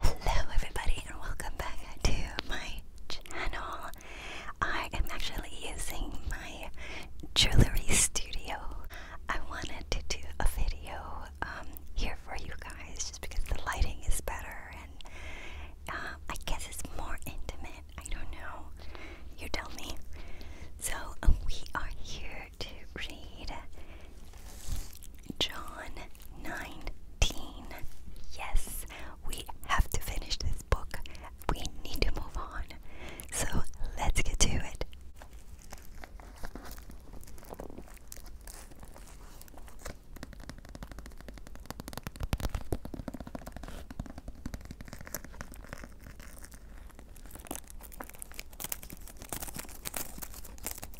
Hello everybody and welcome back to my channel. I am actually using my jewelry studio. I wanted to do a video um, here for you guys just because the lighting is better and um, I guess it's more intimate. I don't know. You tell me. So we are here to read John 19. Yes, we have to finish this book. We need to move on. So let's get to it.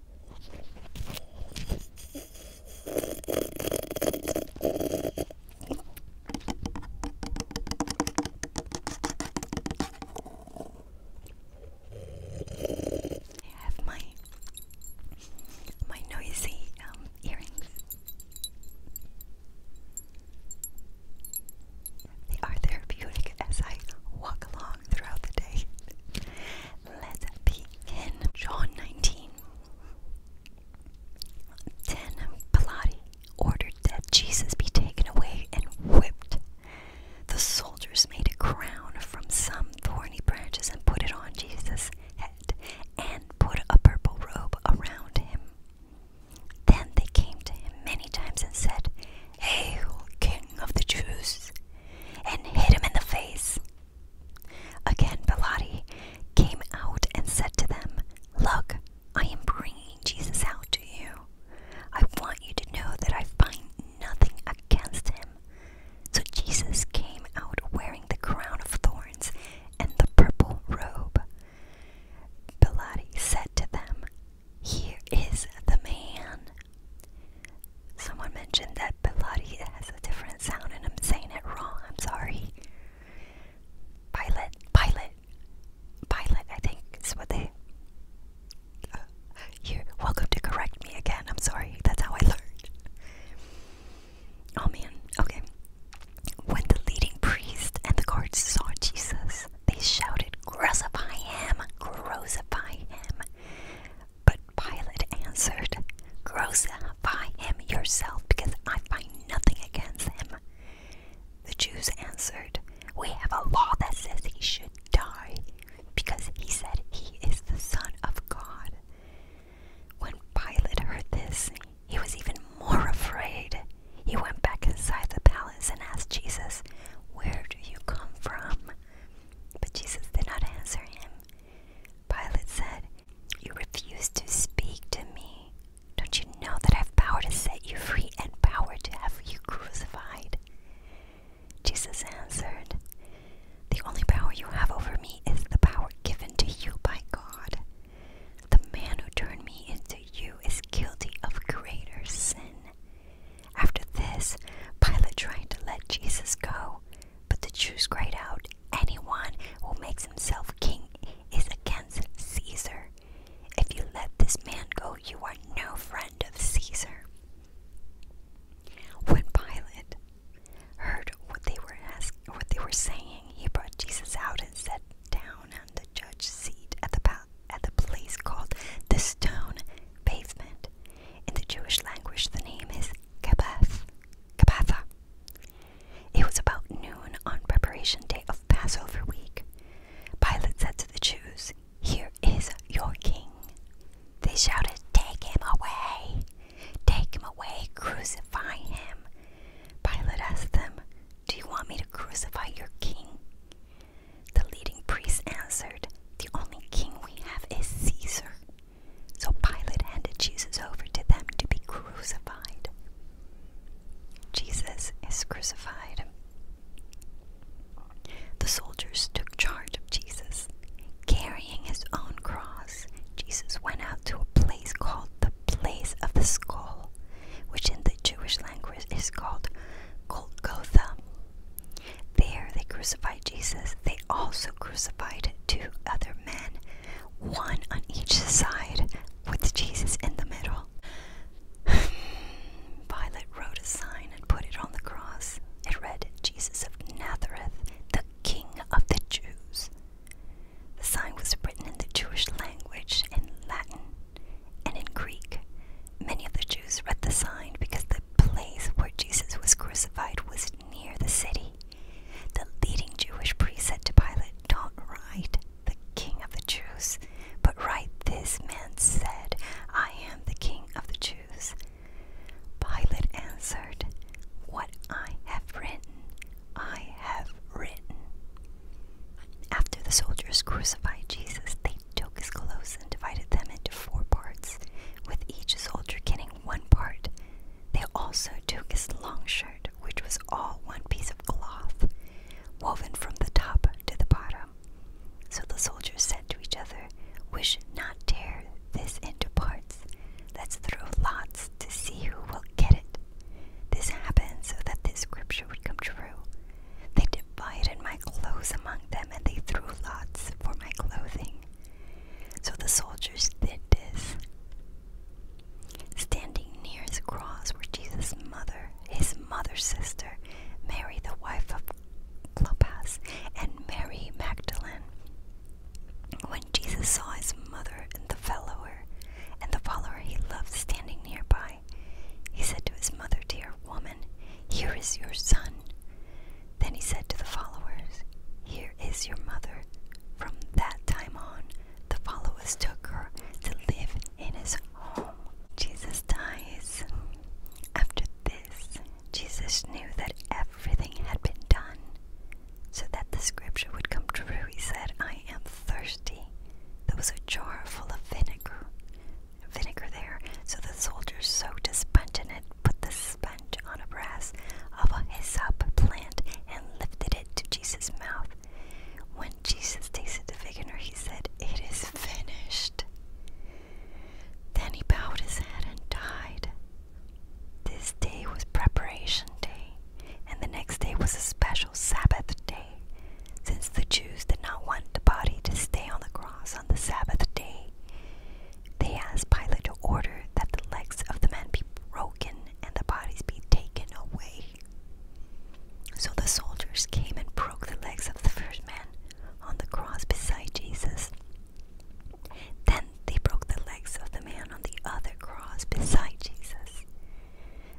I have my my noisy um, earrings. They are therapeutic as I walk along throughout the day let's begin. John 19. Then Pilate ordered that Jesus be taken away and whipped. The soldiers made a crown from some thorny branches and put it on Jesus' head and put a purple robe around him. Then they came to him many times and said, Hail, King of the Jews! and hit him in the face. Again, Pilate came out and said to them, Look, I am bringing Jesus out to you. I want you to know that I find nothing against him. So Jesus came out wearing the crown of thorns and the purple robe. Pilate said to them, Here is the man. Someone mentioned that Pilati has a different sound, and I'm saying it wrong. I'm sorry. Pilot, pilot, pilot. I think is what they. you're uh, welcome to correct me again. I'm sorry. That's how I learned. Oh man. Okay. When the leading priest and the guards saw Jesus, they shouted, "Crucify him! Crucify him!" But Pilate answered, Crucify him yourself, because I find nothing against him. The Jews answered, We have a law that says he should die, because he said he is the Son of God. When Pilate heard this, he was even more afraid. He went back inside the palace and asked Jesus, Where do you come from? But Jesus did not answer him. Pilate said, You refuse to speak to me. Don't you know that I have power to set you free and power to have you crucified? Jesus answered, The only power you have over me is the power given to you by God. The man who turned me into you is guilty of greater sin after this, Pilate tried to let Jesus go, but the Jews cried out, Anyone who makes himself king is against Caesar. If you let this man go, you are no friend of Caesar. When Pilate heard what they were saying, he brought Jesus out and sat down on the judge's seat at the place called the Stone Pavement, in the Jewish language, the name is Kabbath, Kabbatha. It was about noon on preparation day of Passover week. Pilate said to the Jews, Here is your king. They shouted, Take him away! Take him away! Crucify him! Pilate asked them, Do you want me to crucify your king? The leading priests answered, The only king we have is Caesar. So Pilate handed Jesus over to them to be crucified. Jesus is crucified. The soldiers took charge of Jesus. Carrying his own cross, Jesus went out to a place called the Place of the Skull, which in the Jewish language is called Golgotha. There they crucified Jesus. They also crucified two other men, one on each side, with Jesus in the middle. Pilate wrote a sign and put it on the cross. It read, Jesus of Nazareth, the King of the Jews. The sign was written in the Jewish language, in Latin, and in Greek. Many of the Jews read the sign because the place where Jesus was crucified was near the city. The leading Jewish priest said to Pilate, Don't write the King of the Jews, but write this man said, I am the King of the Jews. Pilate answered, What I have written, I have written. After the soldiers crucified Jesus, they took his clothes and divided them into four parts, with each soldier getting one part. They also took his long shirt, which was all one piece of cloth, woven from the top to the bottom. So the soldiers said to each other, We should not tear this into parts. Let's throw lots to see who will get it. This happened so that this scripture would come true. They divided my clothes among them, and they threw lots for my clothing. So the soldiers did this. Standing near his cross were Jesus' mother, his mother's sister, Mary, the wife of Clopas, and Mary Magdalene. When Jesus saw his mother and the follower, and the follower he loved standing nearby, he said to his mother, Dear woman, here is your son. Then he said to the followers, Here is your mother. From that time on, the followers took her to live in his home. Jesus dies. After this, Jesus knew that everything had been done so that the scripture would come true. He said, I am thirsty. There was a jar full of vinegar vinegar there. So the soldiers soaked a sponge in it, put the sponge on a brass of a hyssop plant, and lifted it to Jesus' mouth. When Jesus tasted the vinegar, he said, It is finished. Then he bowed his head and died. This day was preparation day, and the next day was a special Sabbath day since the Jews did not want the body to stay on the cross on the Sabbath day. They asked Pilate to order that the legs of the man be broken and the bodies be taken away. So the soldiers came and broke the legs of the first man on the cross beside Jesus. Then they broke the legs of the man on the other cross beside Jesus.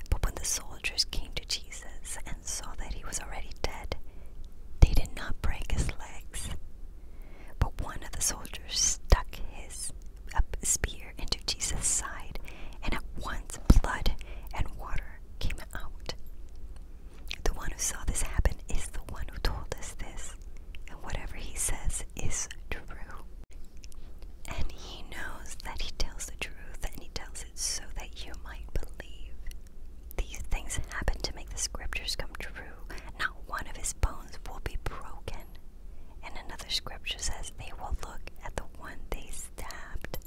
But when the soldiers came to Jesus and saw that he was already dead, they did not break his legs. But one of the soldiers stuck his spear into Jesus' side, and at once blood and water came out. The one who saw this happen is the one who told us this, and whatever he says is true. And he knows that he tells the truth, and he tells it so that you might believe. These things happen to make the scriptures come true. Not one of his bones will be broken. And another scripture says they will look at the one they stabbed.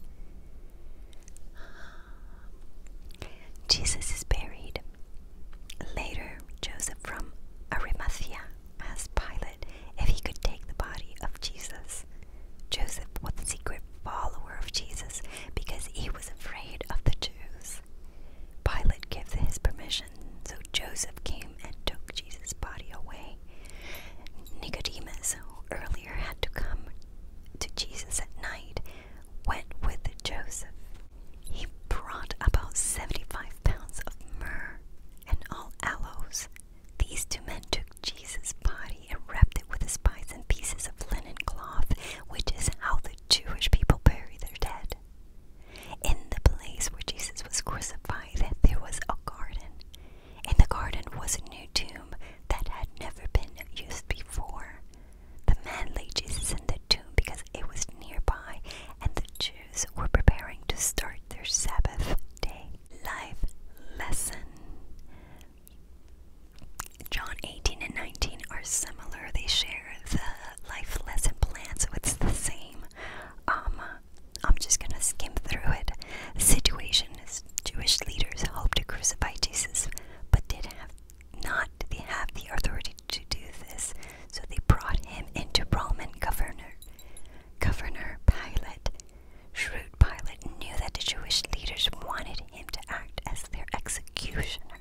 Jesus is buried. Later, Joseph from Arimathea asked Pilate if he could take the body of Jesus. Joseph was a secret follower of Jesus because he was afraid of the Jews. Pilate gave his permission, so Joseph came and took Jesus' body away. Nicodemus, who earlier had to come to Jesus at night, went with Joseph. He brought about 75 pounds of myrrh and all aloes. These two men took Jesus' body and wrapped it with the spices and pieces of linen cloth, which is how the Jewish people bury their dead. In the place where Jesus was crucified, there was a garden. In the garden was a new tomb that had never been used before. The man laid Jesus in the tomb because it was nearby, and the Jews were preparing to start their Sabbath day. Life lesson John 18 and 19 are similar. They share the life lesson plan, so it's the same. Um, I'm just going to skim through it. The situation is Jewish leaders hoped to crucify Jesus, but did have not they have the authority to do this, so they brought him into Roman governor, governor Pilate, Shrewd Pilate knew that the Jewish leaders wanted him to act as their executioner.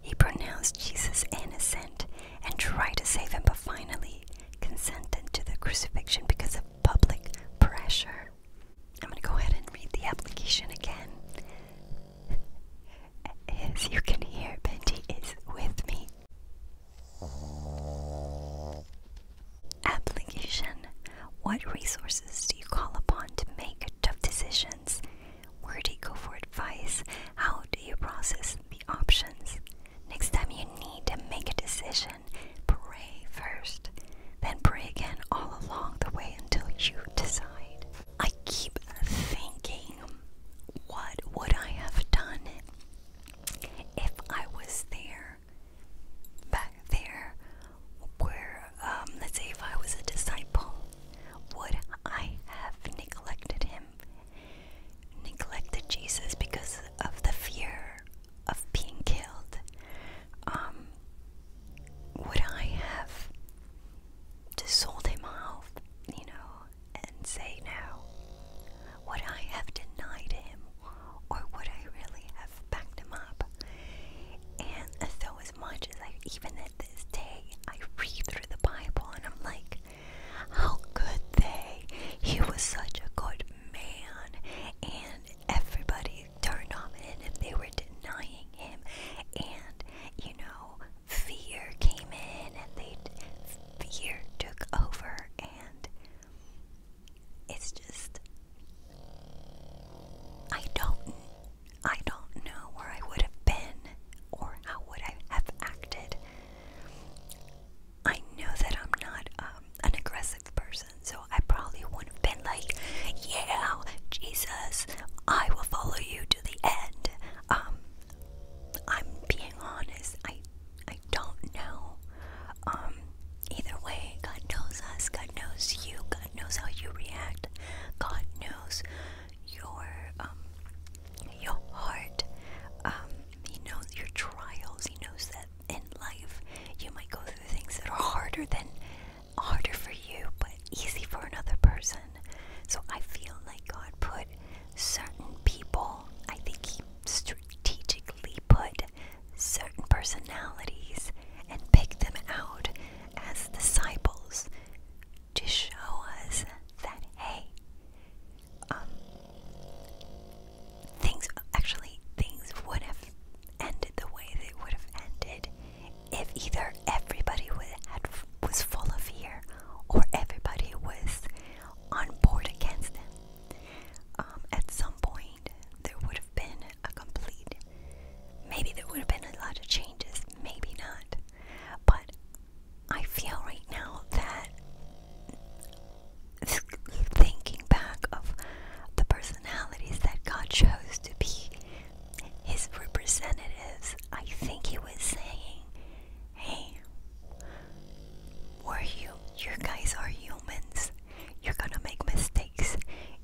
He pronounced Jesus innocent and tried to save him, but finally consented to the crucifixion because of public pressure. I'm going to go ahead and read the application again. As you can hear, Benji is with me. Application What resources do you call upon to make tough decisions? Where do you go for advice? How do you process the options? Next time you need to make a decision, pray first, then pray again all along the way until you decide. I keep thinking, what would I have done if I was there? back there where, um, let's say, if I was a disciple, would I have neglected him? Neglected Jesus because of the fear of being killed? Um, would I have just sold him off, you know, and say no? Would I have denied him? or would I really have packed him up? And so, as much as I, even at this day, I read through the Bible and I'm like, how could they? He was such a good man, and everybody turned on him and they were denying him, and you know, fear came in and they fear took over and it's just I don't I don't know where I would have been or how would I have acted. I know that I'm not um, an aggressive person, so I probably wouldn't have been like, "Yeah, Jesus, I will follow you to the end." Um, I'm being honest. I I don't know. Um, either way, God knows us, God knows you, God knows how you react, God knows your um, your heart. Um, he knows your trials, he knows that in life you might go through things that are harder than harder for you but easy for another person. So I feel like God put certain people, I think he strategically put certain personalities and pick them out as disciples to show us that, hey, um, things actually, things would have ended the way they would have ended if either everybody was full of fear or everybody was on board against them. Um, at some point, there would have been a complete. Maybe there would have been a lot of changes, maybe not. But I feel right now that thinking back of the personalities that God chose to be his representatives, I think he was saying, hey, were you, you guys are humans. You're gonna make mistakes.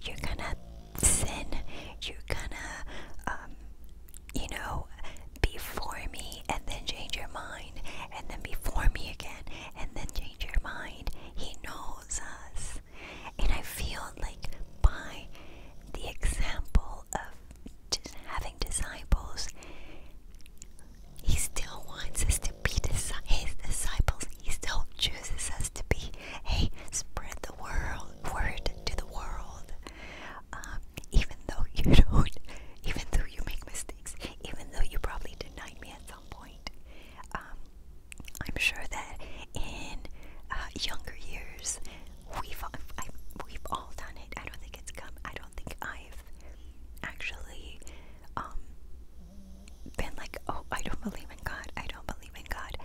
You're gonna sin. You're gonna, um, you know, before me and then change your mind, and then be for me again, and then change your mind. He knows us. And I feel like by the example of just having disciples, he still wants us to be his disciples. He still chooses us to be. a spread the world word to the world. Um, even though you don't, even though you make mistakes, even though you probably denied me at some point. Um, I'm sure that in uh, younger years, we've all, we've all done it. I don't think it's come. I don't think I've actually um, been like, oh, I don't believe in God, I don't believe in God,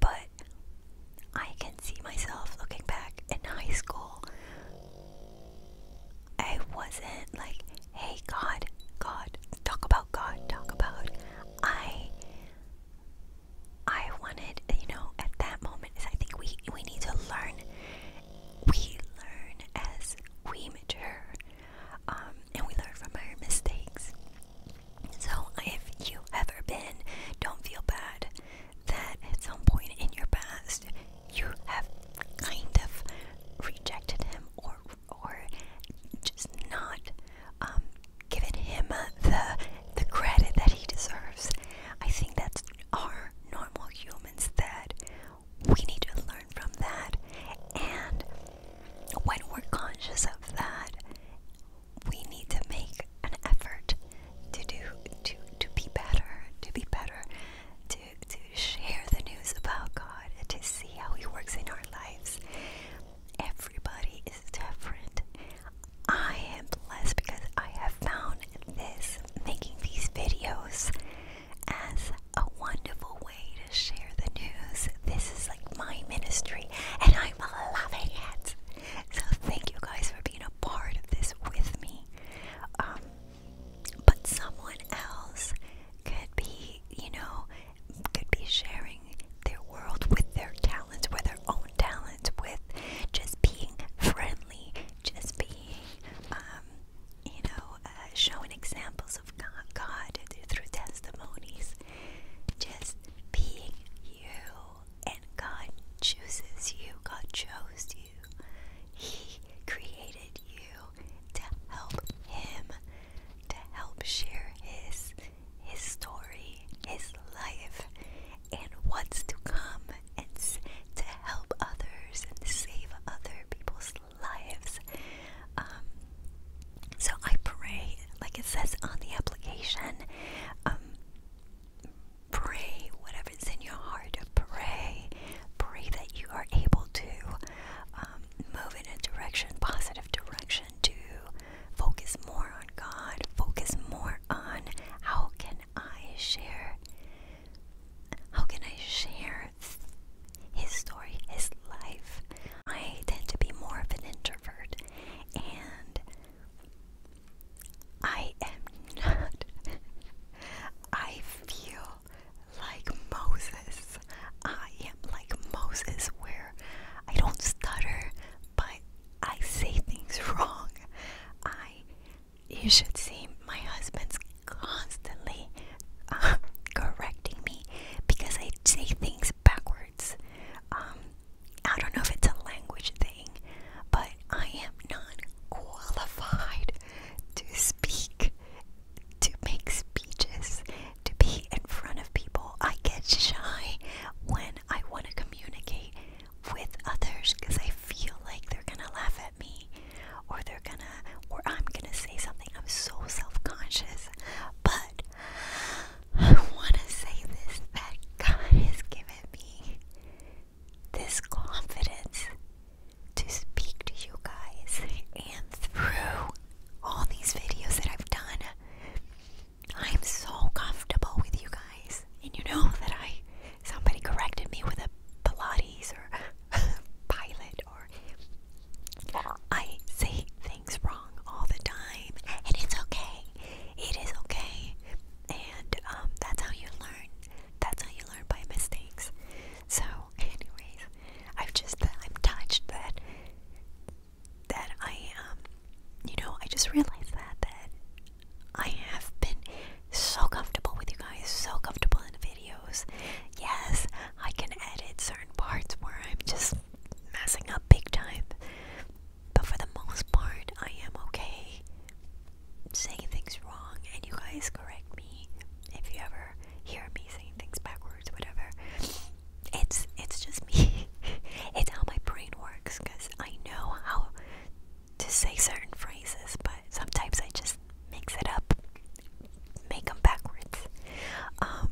but I can see myself looking back in high school. I wasn't like, hey, God, God, talk about God, talk about. I, I wanted, you know, at that moment I think we we need to learn. We learn as we mature. Um, and we learn from our mistakes. So if you ever been, don't feel bad that at some point in your past you have kind of rejected him or or just not um, given him the the credit that he deserves. I think that's our normal humans that we need to learn from that. And when we're conscious of that, we need to make an effort to do to to be better, to be better, to to share the news about God, to see how He works in our lives. Everybody is different. I am blessed because I have found this making these videos as a wonderful way to share the news. This is like my ministry, and I'm loving it. So, thank you guys for being a part of this with me. Um, but someone else could be, you know, could be sharing their world with their talents, with their own talents, with just being friendly, just being um, you know, uh, showing examples of God, through testimonies. Just being you, and God chooses you. God chose you. He created you to help Him, to help share His His story, His life, and what's to come, and to help others and save other people's lives. Um, so I pray, like it says on the application, um, pray whatever's in your heart. Pray, pray that you are able to um, move in a direction, positive direction, to focus more on God, focus more on how can I share, how can I share his story, his life. I tend to be more of an introvert, and I am not. I feel like Moses. I am like Moses, where I don't stutter, but I say things wrong. I you should see my husband's constantly um, correcting me because I say things backwards. Um, I don't know if it's a language thing, but I am not qualified to speak, to make speeches, to be in front of people. I get shy when I want to communicate with others because I feel like they're going to laugh at me or they're gonna or I'm gonna say something. I'm so self-conscious. But I wanna say this that God has given me this confidence to speak to you guys and through all these videos that I've done. I'm so comfortable with you guys. And you know that I somebody corrected me with a Pilates or pilot or I say things wrong all the time and it's okay. It is okay. And um that's how you learn. That's how you learn by mistakes. So anyways, I've just I'm touched that that I um you know, I just realized that that I have been so comfortable with you guys, so comfortable in the videos. Yes, I can edit certain parts where I'm just messing up big time, but for the most part, I am okay saying things wrong, and you guys correct me if you ever hear me saying things backwards, whatever. It's it's just me. it's how my brain works, cause I know how to say certain phrases, but sometimes I just mix it up, make them backwards. Um,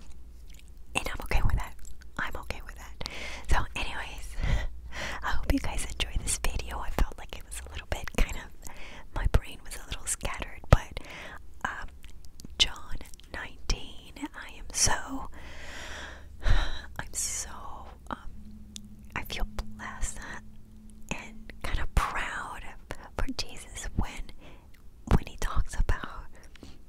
and I'm okay with that. I'm okay with that. So, anyways, I hope you guys enjoy this video. I felt like it was a little bit kind of my brain was a little scattered, but um, John 19, I am so I'm so um, I feel blessed and kind of proud for Jesus when when he talks about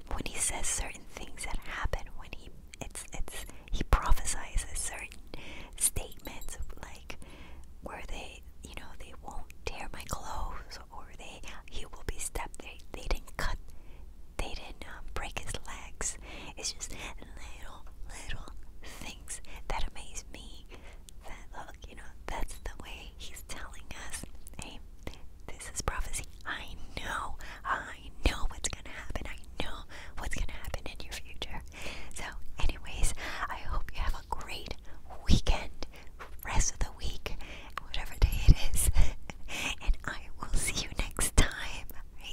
when he says certain things that happen when he it's it's he prophesies certain statements like where they you know they won't tear my clothes or they he will be stepped they they didn't cut they didn't um, break his legs it's just little little things that amaze me that, look, you know, that's the way he's telling us, hey, this is prophecy. I know, I know what's going to happen. I know what's going to happen in your future. So, anyways, I hope you have a great weekend, rest of the week, whatever day it is. and I will see you next time.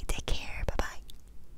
take care. Bye bye.